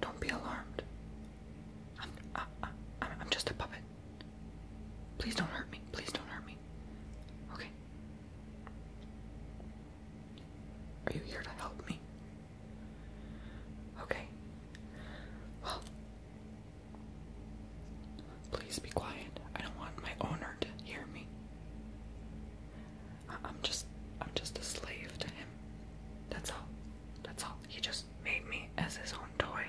Don't be alarmed. I'm, I, I, I'm just a puppet. Please don't hurt me. Please don't hurt me. Okay. Are you here to help me? Okay. Well, please be quiet. I don't want my owner to hear me. I'm just I'm just a slave to him. That's all. That's all. He just made me as his own toy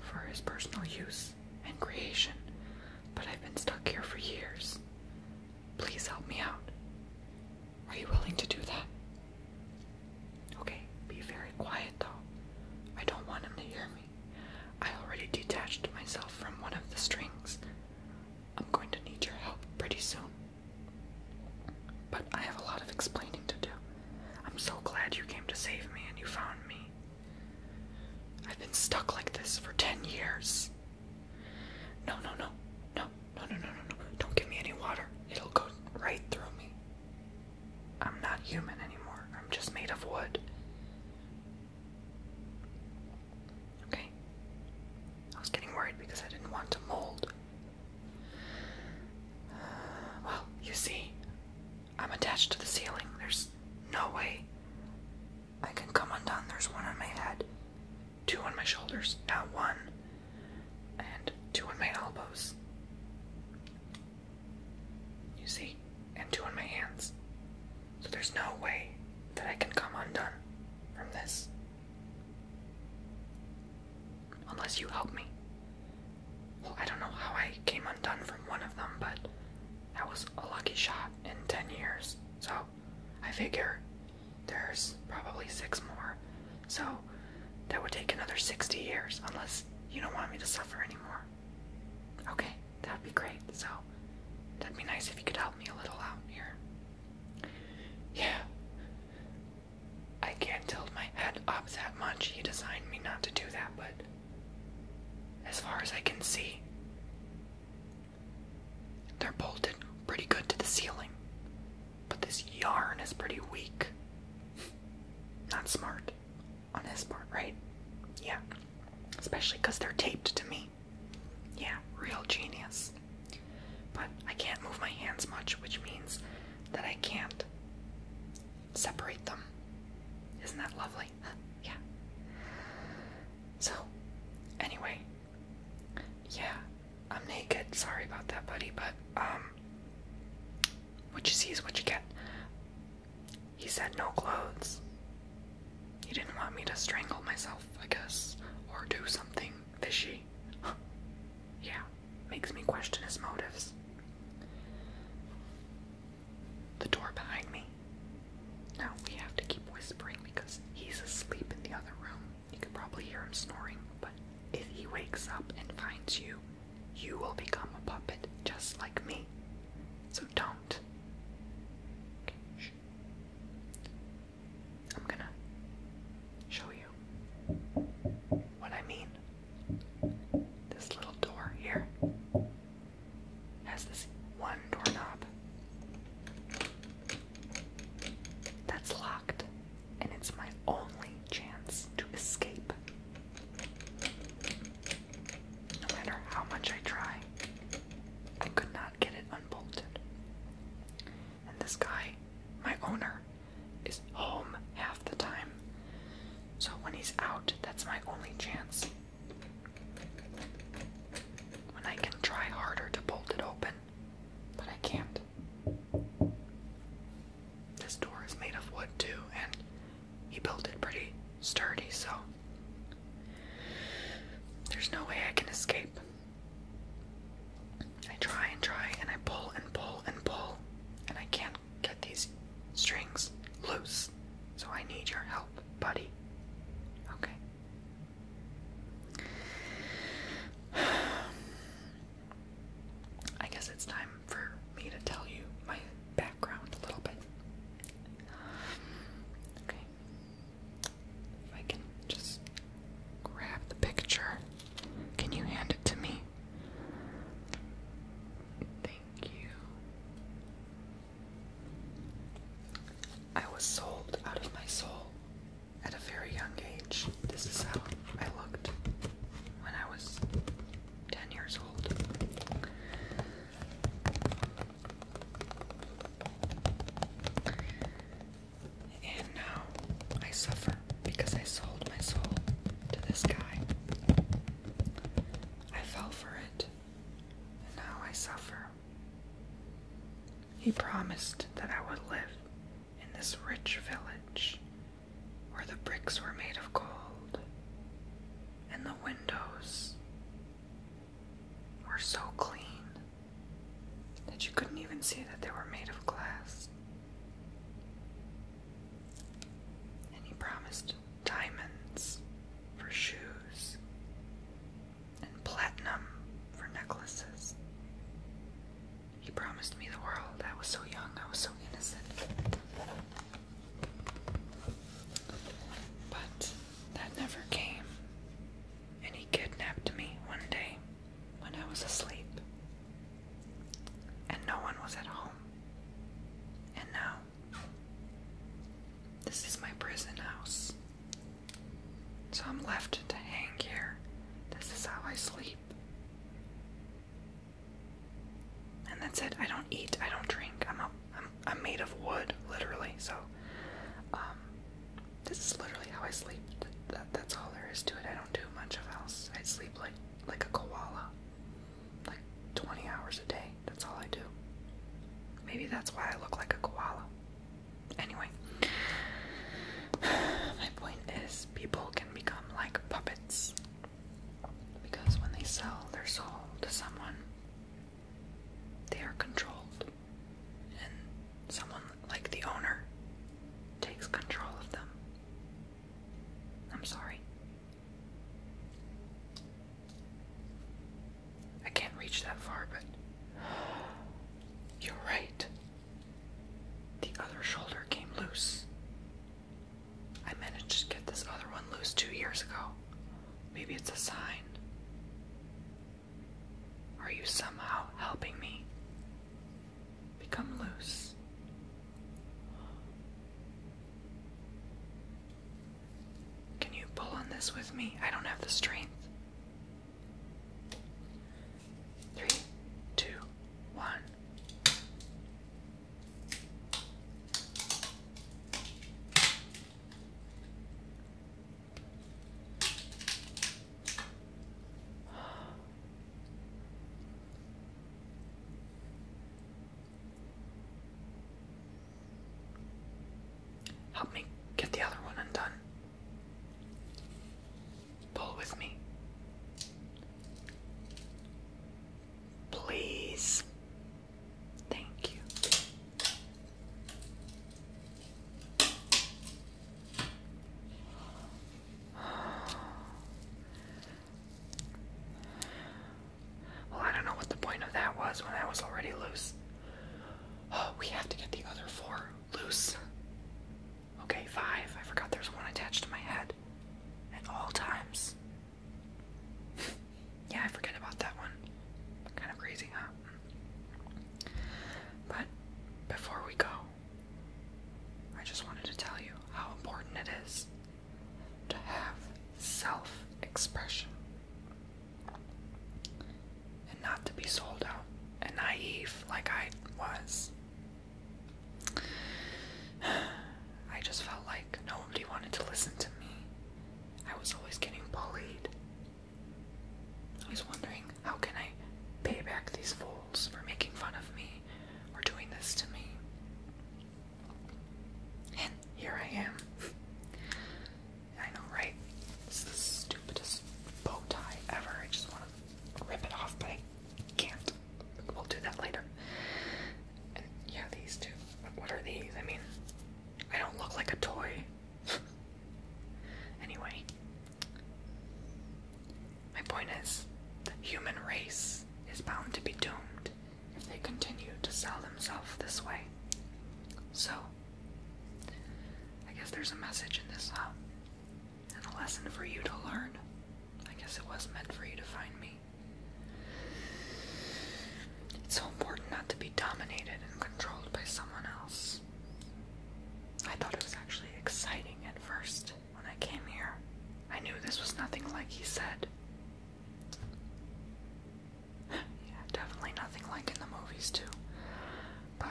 for his personal use and creation, but I've been stuck here for years. Please help me out. Are you willing to do that? Okay, be very quiet though. I don't want him to hear me. I already detached myself from one of the strings. I'm going to need your help pretty soon. But I have a lot of explaining to do. I'm so glad you came to save me and you found me. I've been stuck like this for 10 years. No, no, no. No, no, no, no, no, no. Don't give me any water. It'll go right through me. I'm not human anymore. I'm just made of wood. Okay. I was getting worried because I didn't want to mold. Well, you see, I'm attached to the ceiling. There's no way I can come undone. There's one on my head, two on my shoulders, now one, and two on my elbows. You see, and two on my hands. So there's no way that I can come undone from this. Unless you help me. Well, I don't know how I came undone from one of them, but that was a lucky shot in 10 years. So I figure there's probably six more. So that would take another 60 years, unless you don't want me to suffer anymore. Okay, that'd be great. So that'd be nice if you could help me a little out here. Yeah. I can't tilt my head up that much. He designed me not to do that, but as far as I can see, they're bolted pretty good to the ceiling. But this yarn is pretty weak. Not smart on his part, right? Yeah. Especially because they're taped to me. Yeah, real genius. But I can't move my hands much, which means that I can't separate them. Isn't that lovely? yeah. So, anyway, yeah, I'm naked. Sorry about that, buddy, but, um, what you see is what you get. He said no clothes. He didn't want me to strangle myself, I guess, or do something fishy. yeah, makes me question his motives. The door behind me. Now we have to keep whispering because he's asleep in the other room. You could probably hear him snoring, but if he wakes up and finds you, you will become a puppet just like me. So don't. Okay. I'm gonna show you what I mean. This little door here has this one doorknob that's locked, and it's my only chance to escape. No matter how much I try, I could not get it unbolted and this guy, my owner, is home half the time. So when he's out, that's my only chance. When I can try harder to bolt it open, but I can't. This door is made of wood too, and he built it pretty sturdy, so there's no way I can escape. I try and try and I pull and pull and pull, and I can't get these strings loose. So I need your help, buddy. Okay. I guess it's time for me to tell you my background a little bit. Okay, if I can just grab the picture, can you hand it to me? Thank you. I was sold out of my soul at a very young age. This is how I looked when I was 10 years old. And now I suffer because I sold my soul to this guy. I fell for it, and now I suffer. He promised that I would live in this rich village where the bricks were made of gold and the windows were so clean that you couldn't even see that they were made of glass. And he promised diamonds for shoes and platinum for necklaces. He promised me the world. I was so young, I was so innocent. But that never came and he kidnapped me one day when I was asleep. And no one was at home. And now, this is my prison house. So I'm left to hang here. This is how I sleep. And that's it. I don't eat. I don't drink. I'm a, I'm, I'm made of wood, literally. So, um, this is literally how I sleep. That, that's all there is to it. I don't do much of else. I sleep like like a koala, like 20 hours a day. That's all I do. Maybe that's why I look like a koala. Anyway, my point is people can become like puppets because when they sell their soul to someone, they are controlled, and someone like the owner takes control of them. I'm sorry. I can't reach that far, but you're right. The other shoulder came loose. I managed to get this other one loose two years ago. Maybe it's a sign. Are you somehow helping me? Become loose. Can you pull on this with me? I don't have the strength. Three, two, one. Help me get the other one undone. Pull with me. Please. Thank you. Well, I don't know what the point of that was when I was already loose. Oh, we have to get the other four loose. Okay, five. I forgot there's one attached to my head at all times. yeah, I forget about that one. Kind of crazy, huh? But before we go, I just wanted to tell you how important it is to have self expression and not to be sold out and naive like I was. I just felt like nobody wanted to listen to me. I was always getting bullied I was wondering, how can I pay back these fools for making fun of me or doing this to me? And here I am. I know, right? It's the stupidest bow tie ever. I just want to rip it off, but I can't. We'll do that later. And yeah, these two. What are these? I mean, I don't look like a toy. anyway, my point is the human race is bound to be doomed if they continue to sell themselves this way. So, I guess there's a message in this, huh? And a lesson for you to learn. I guess it was meant for you to find me. It's so important not to be dominated and controlled by someone else. I thought it was actually exciting at first when I came here. I knew this was nothing like he said. definitely nothing like in the movies, too. But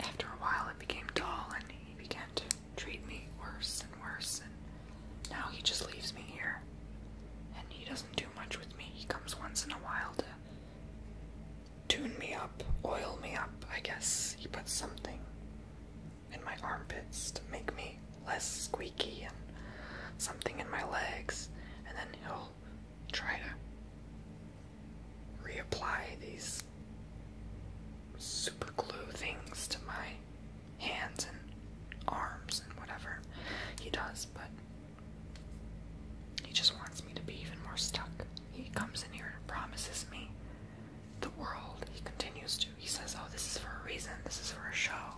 after a while, it became dull and he began to treat me worse and worse, and now he just leaves me here. And he doesn't much with me. He comes once in a while to tune me up, oil me up, I guess. He puts something in my armpits to make me less squeaky and something in my legs, and then he'll try to reapply these super glue things to my hands and arms and whatever he does, but he just wants me to be even more stuck. He comes in here and promises me the world. He continues to. He says, Oh, this is for a reason. This is for a show.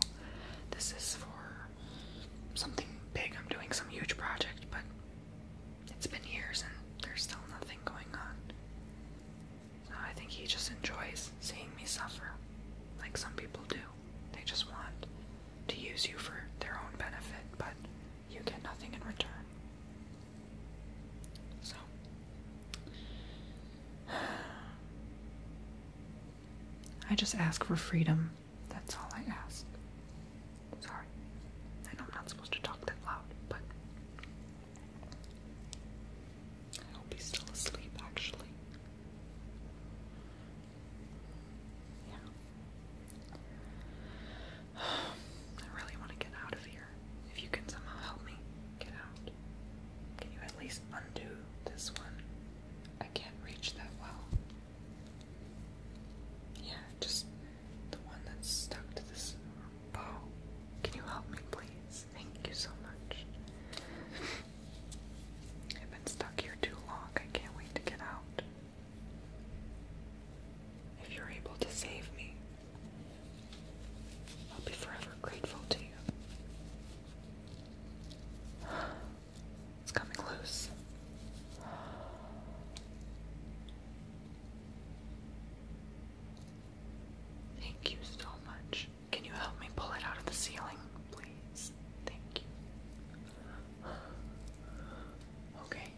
This is for something big. I'm doing some huge project, but it's been years and there's still nothing going on. I think he just enjoys seeing me suffer, like some people do. They just want to use you for their own benefit, but you get nothing in return. So. I just ask for freedom. That's all I ask. Sorry. I know I'm not supposed to talk that loud, but. I hope he's still asleep, actually. Yeah. I really want to get out of here. If you can somehow help me get out, can you at least undo this one? I can't reach that well. Yeah, just the one that's stuck to this bow. Can you help me, please? Thank you so much. I've been stuck here too long. I can't wait to get out. If you're able to save me, I'll be forever grateful to you. It's coming loose. Thank you so much. Can you help me pull it out of the ceiling, please? Thank you. Okay.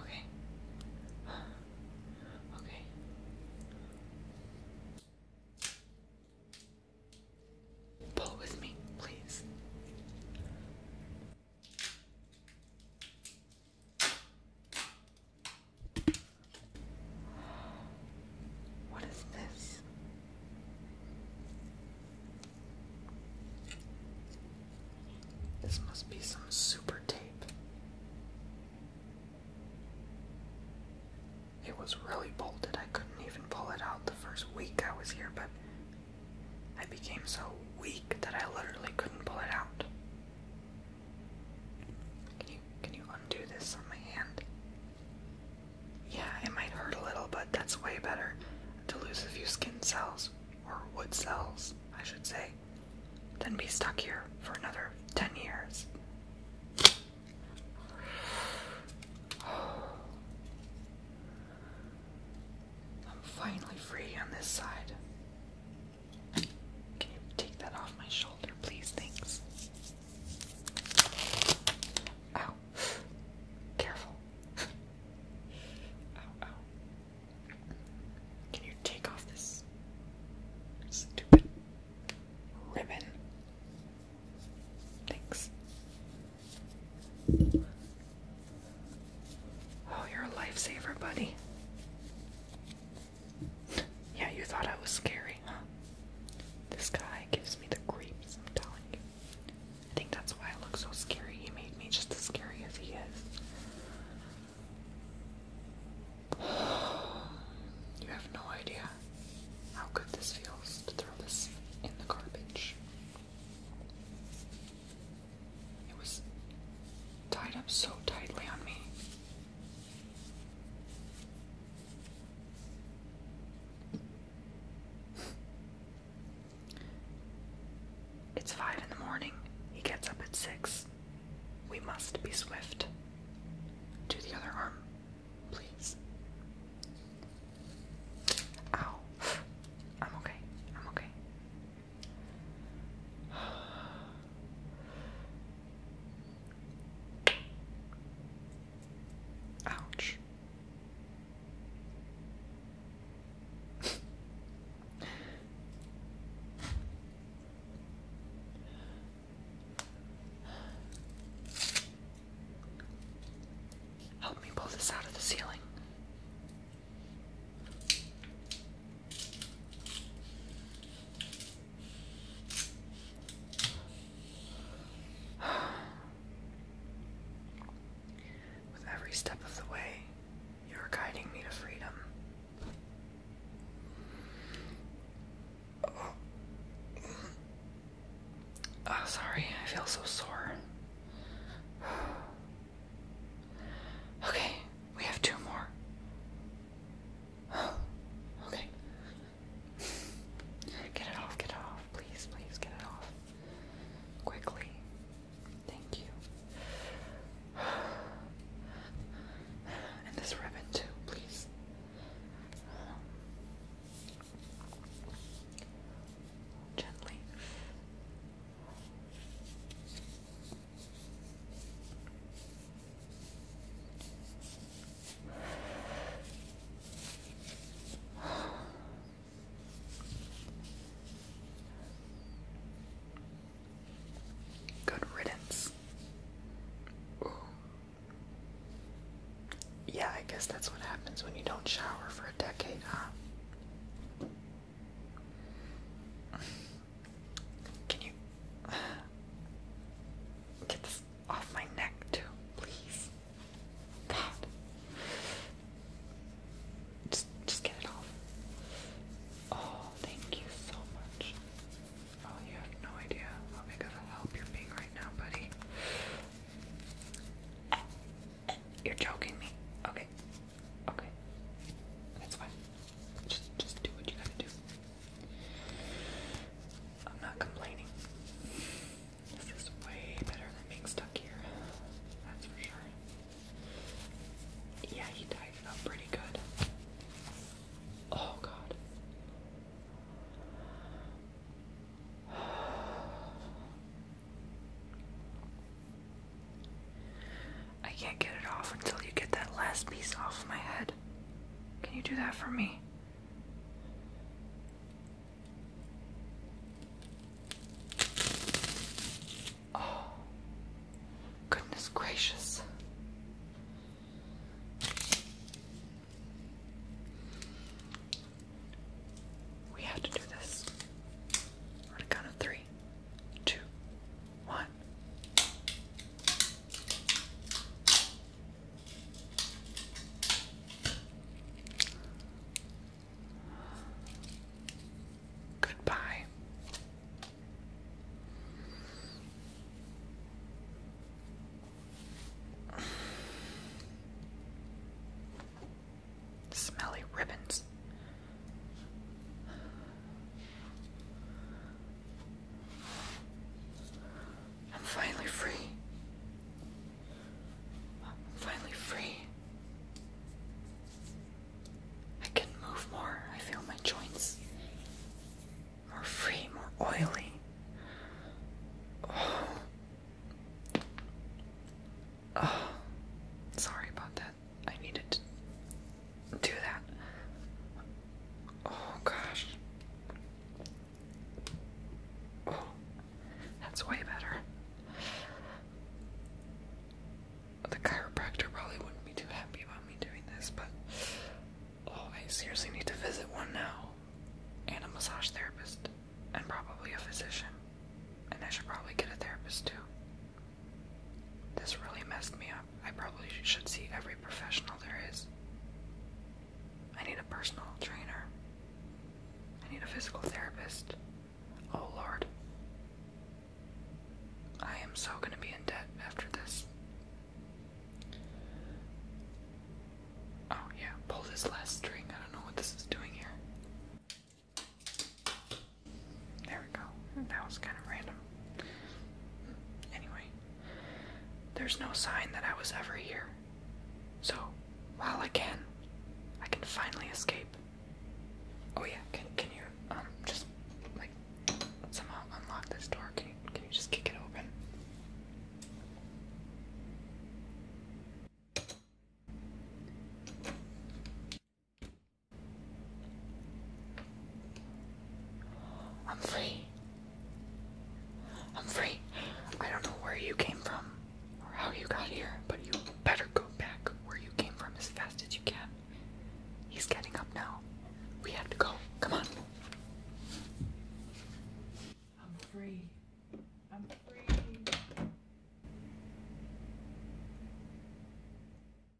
Okay. Okay. Pull with me, please. What is this? This must be some super tape. It was really bolted, I couldn't even pull it out the first week I was here, but I became so weak that I literally couldn't pull it out. Can you can you undo this on my hand? Yeah, it might hurt a little, but that's way better to lose a few skin cells, or wood cells, I should say, than be stuck here for another 10 years. I'm finally free on this side. Can you take that off my shoulder, please? Thanks. Ow. Careful. Ow, ow. Can you take off this stupid ribbon? Thanks. Oh, you're a lifesaver, buddy. Yeah, you thought I was scary, huh? This guy gives me the creeps, I'm telling you. I think that's why I look so scary. He made me just as scary as he is. You have no idea how good this feels to throw this in the garbage. It was tied up so tightly on me. It's five in the morning. He gets up at six. We must be swift. To the other arm, please. Ow. I'm okay. I'm okay. Ouch. Help me pull this out of the ceiling. With every step of the way, you are guiding me to freedom. Oh, sorry, I feel so sore. Okay, we have two more. okay. Get it off, get it off. Please, please get it off. Quickly. Thank you. And this ribbon too, please. Gently. Good riddance. Yeah, I guess that's what happens when you don't shower for a decade, huh? Can you get this off my neck too, please? God. Just just get it off. Oh, thank you so much. Oh, you have no idea how big of a help you're being right now, buddy. Eh, eh, you're joking me. Okay. Okay. That's fine. Just, just do what you gotta do. I'm not complaining. This is way better than being stuck here. That's for sure. Yeah, he tied it up pretty good. Oh god. I can't get it off until you get that last piece off my head. Can you do that for me? Oh, goodness gracious. We have to do this. On a count of three, two, what? Goodbye. Smelly ribbons. I'm finally free. I'm finally free. I can move more. I feel my joints more free, more oily. Oh. Oh. Sorry about that. I needed do that. Oh gosh. Oh, that's way better. The chiropractor probably wouldn't be too happy about me doing this, but oh, I seriously need to visit one now. And a massage therapist, and probably a physician. And I should probably get a therapist too. This really messed me up. I probably should see every professional there is. I need a personal trainer. I need a physical therapist. Oh lord. I am so gonna be in debt after this. Oh, yeah, pull this last string. I don't know what this is doing here. There we go. That was kind of random. Anyway, there's no sign that I was ever here. So, while I can, I can finally escape. Oh yeah, can can you um just like somehow unlock this door? Can you can you just kick it open? I'm free. I'm free. I don't know where you came from or how you got here, but you better go back where you came from as fast as you can. He's getting up now. We have to go. Come on. I'm free. I'm free.